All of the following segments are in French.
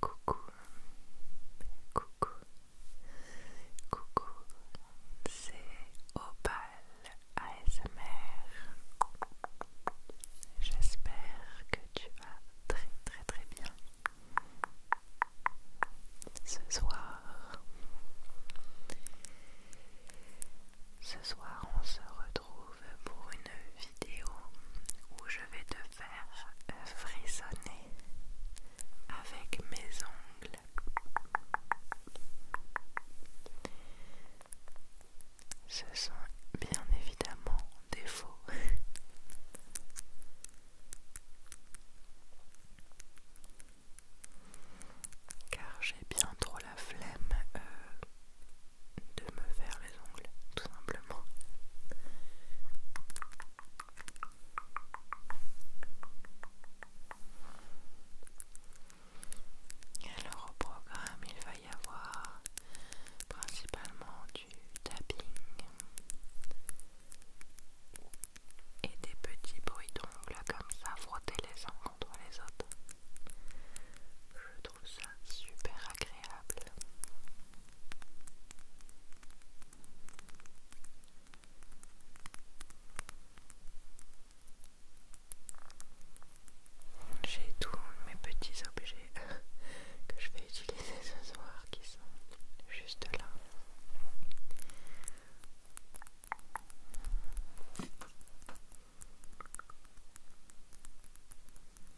Coucou, coucou, coucou, c'est Opal ASMR. J'espère que tu vas très très très bien. Ce soir, ce soir on se retrouve pour une vidéo où je vais te faire euh, frissonner avec mes ongles. Ce sont bien évidemment des faux. Car j'ai bien trop la flemme euh, de me faire les ongles, tout simplement. Alors au programme, il va y avoir principalement du tapping et des petits bruits d'ongles comme ça, frotter les uns contre les autres. Je trouve ça super agréable. J'ai tous mes petits objets que je vais utiliser ce soir qui sont juste là.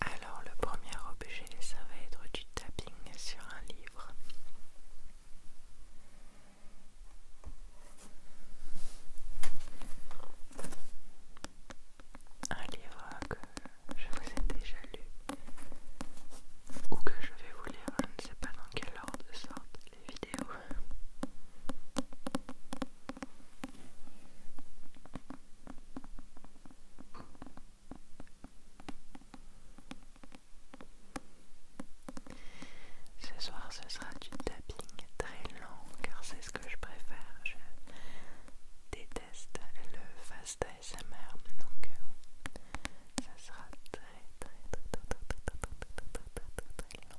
Alors le premier objet, ça va être du tapping sur un livre. Un livre que je vous ai déjà lu ou que je vais vous lire, je ne sais pas dans quel ordre sortent les vidéos. Ce soir, ce sera du tapping très long, car c'est ce que je préfère. Je déteste le fast ASMR donc ça sera très très très très très très très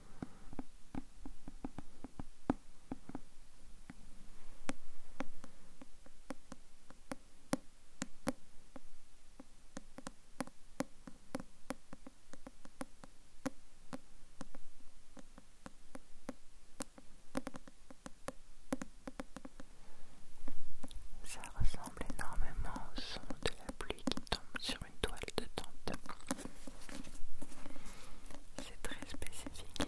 Ça ressemble énormément au son de la pluie qui tombe sur une toile de tente. C'est très spécifique.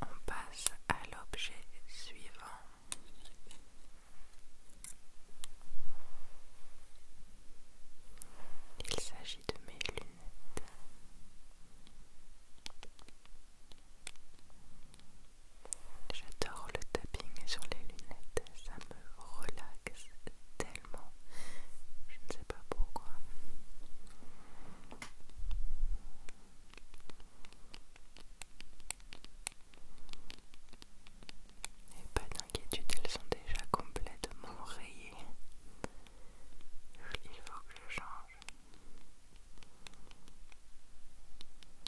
On passe à l'objet suivant. Il s'agit de mes lunettes. J'adore le tapping sur les lunettes, ça me relaxe tellement. Je ne sais pas pourquoi. Et pas d'inquiétude, elles sont déjà complètement rayées. Il faut que je change.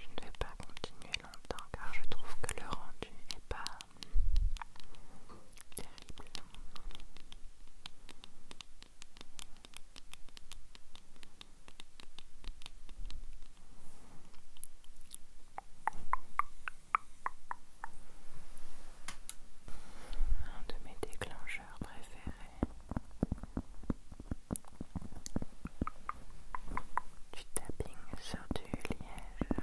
Je ne vais pas continuer longtemps car je trouve que le rendu n'est pas terrible. Un de mes déclencheurs préférés. Du tapping sur du liège.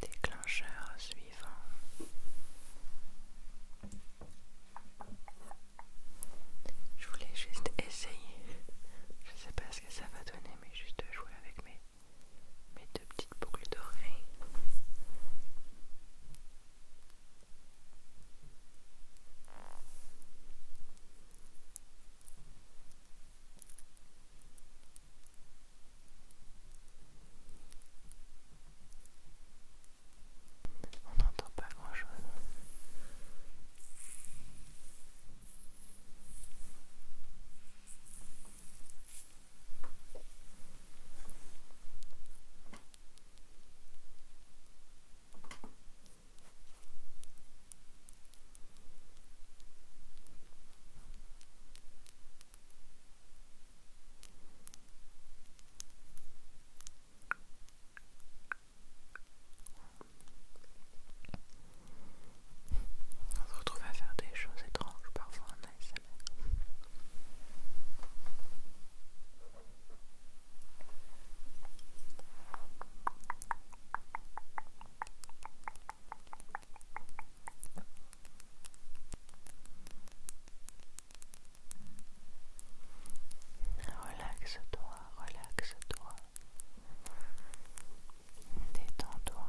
Déclencheur suivant. Je voulais juste essayer. Je sais pas ce que ça va donner, mais juste jouer avec mes, deux petites boucles d'oreilles. On n'entend pas grand chose. On se retrouve à faire des choses étranges parfois en ASMR. Relaxe-toi, relaxe-toi. Détends-toi.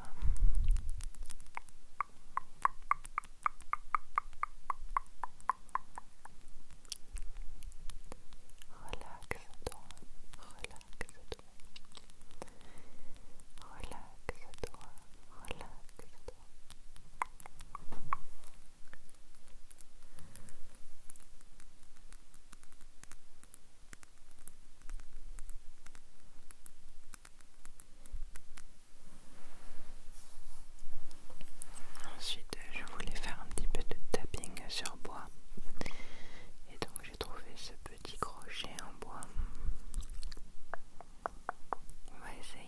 Relaxe-toi, relaxe-toi, relaxe-toi, relaxe-toi. Ensuite, je voulais faire un petit peu de tapping sur bois et donc j'ai trouvé ce petit crochet en bois on va essayer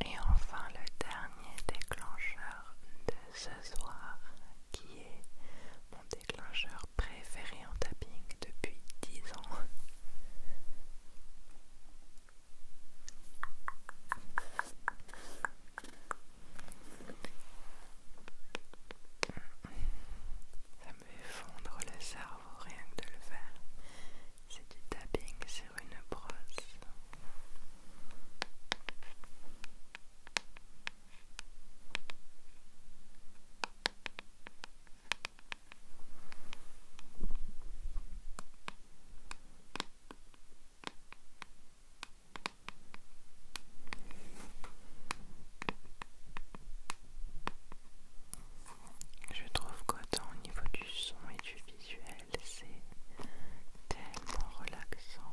Et enfin le dernier déclencheur de ce soir qui est mon déclencheur préféré en tapping depuis dix ans. Ça me fait fondre le cerveau rien que de le faire. C'est du tapping sur une brosse. Je trouve qu'autant au niveau du son et du visuel, c'est tellement relaxant.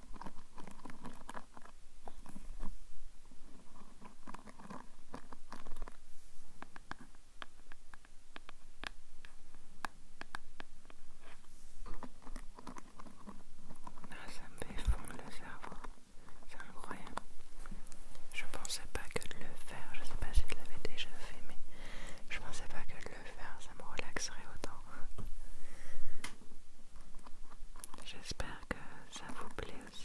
Ah, ça me fait fondre le cerveau, c'est incroyable. Je pensais pas que de le faire, je sais pas si je l'avais déjà fait, mais je pensais pas que de le faire ça me relaxerait autant. J'espère que ça vous plaît aussi.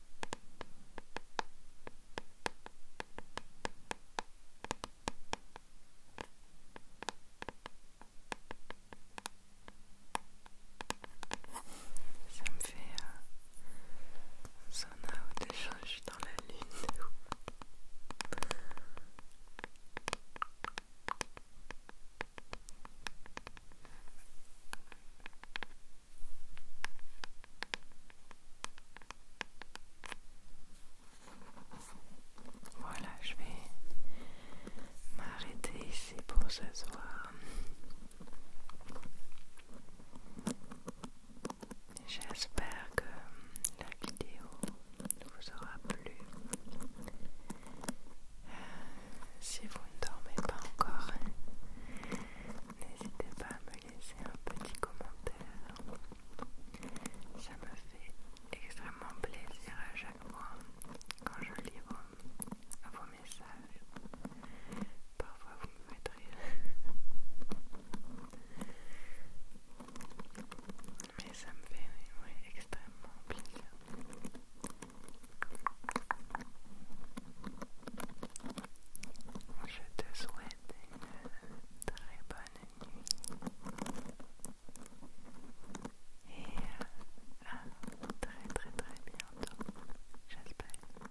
Ça me fait un zone out, dans la lune. Voilà, je vais m'arrêter ici pour ce soir. J'espère que la vidéo vous aura plu. Euh, si vous ne dormez pas encore, n'hésitez pas à me laisser un petit commentaire. Ça me fait extrêmement plaisir à chaque fois quand je lis vos, messages. Parfois vous me faites rire. Mais ça me fait extrêmement plaisir. Je te souhaite une très bonne nuit et euh, à très très très bientôt, j'espère.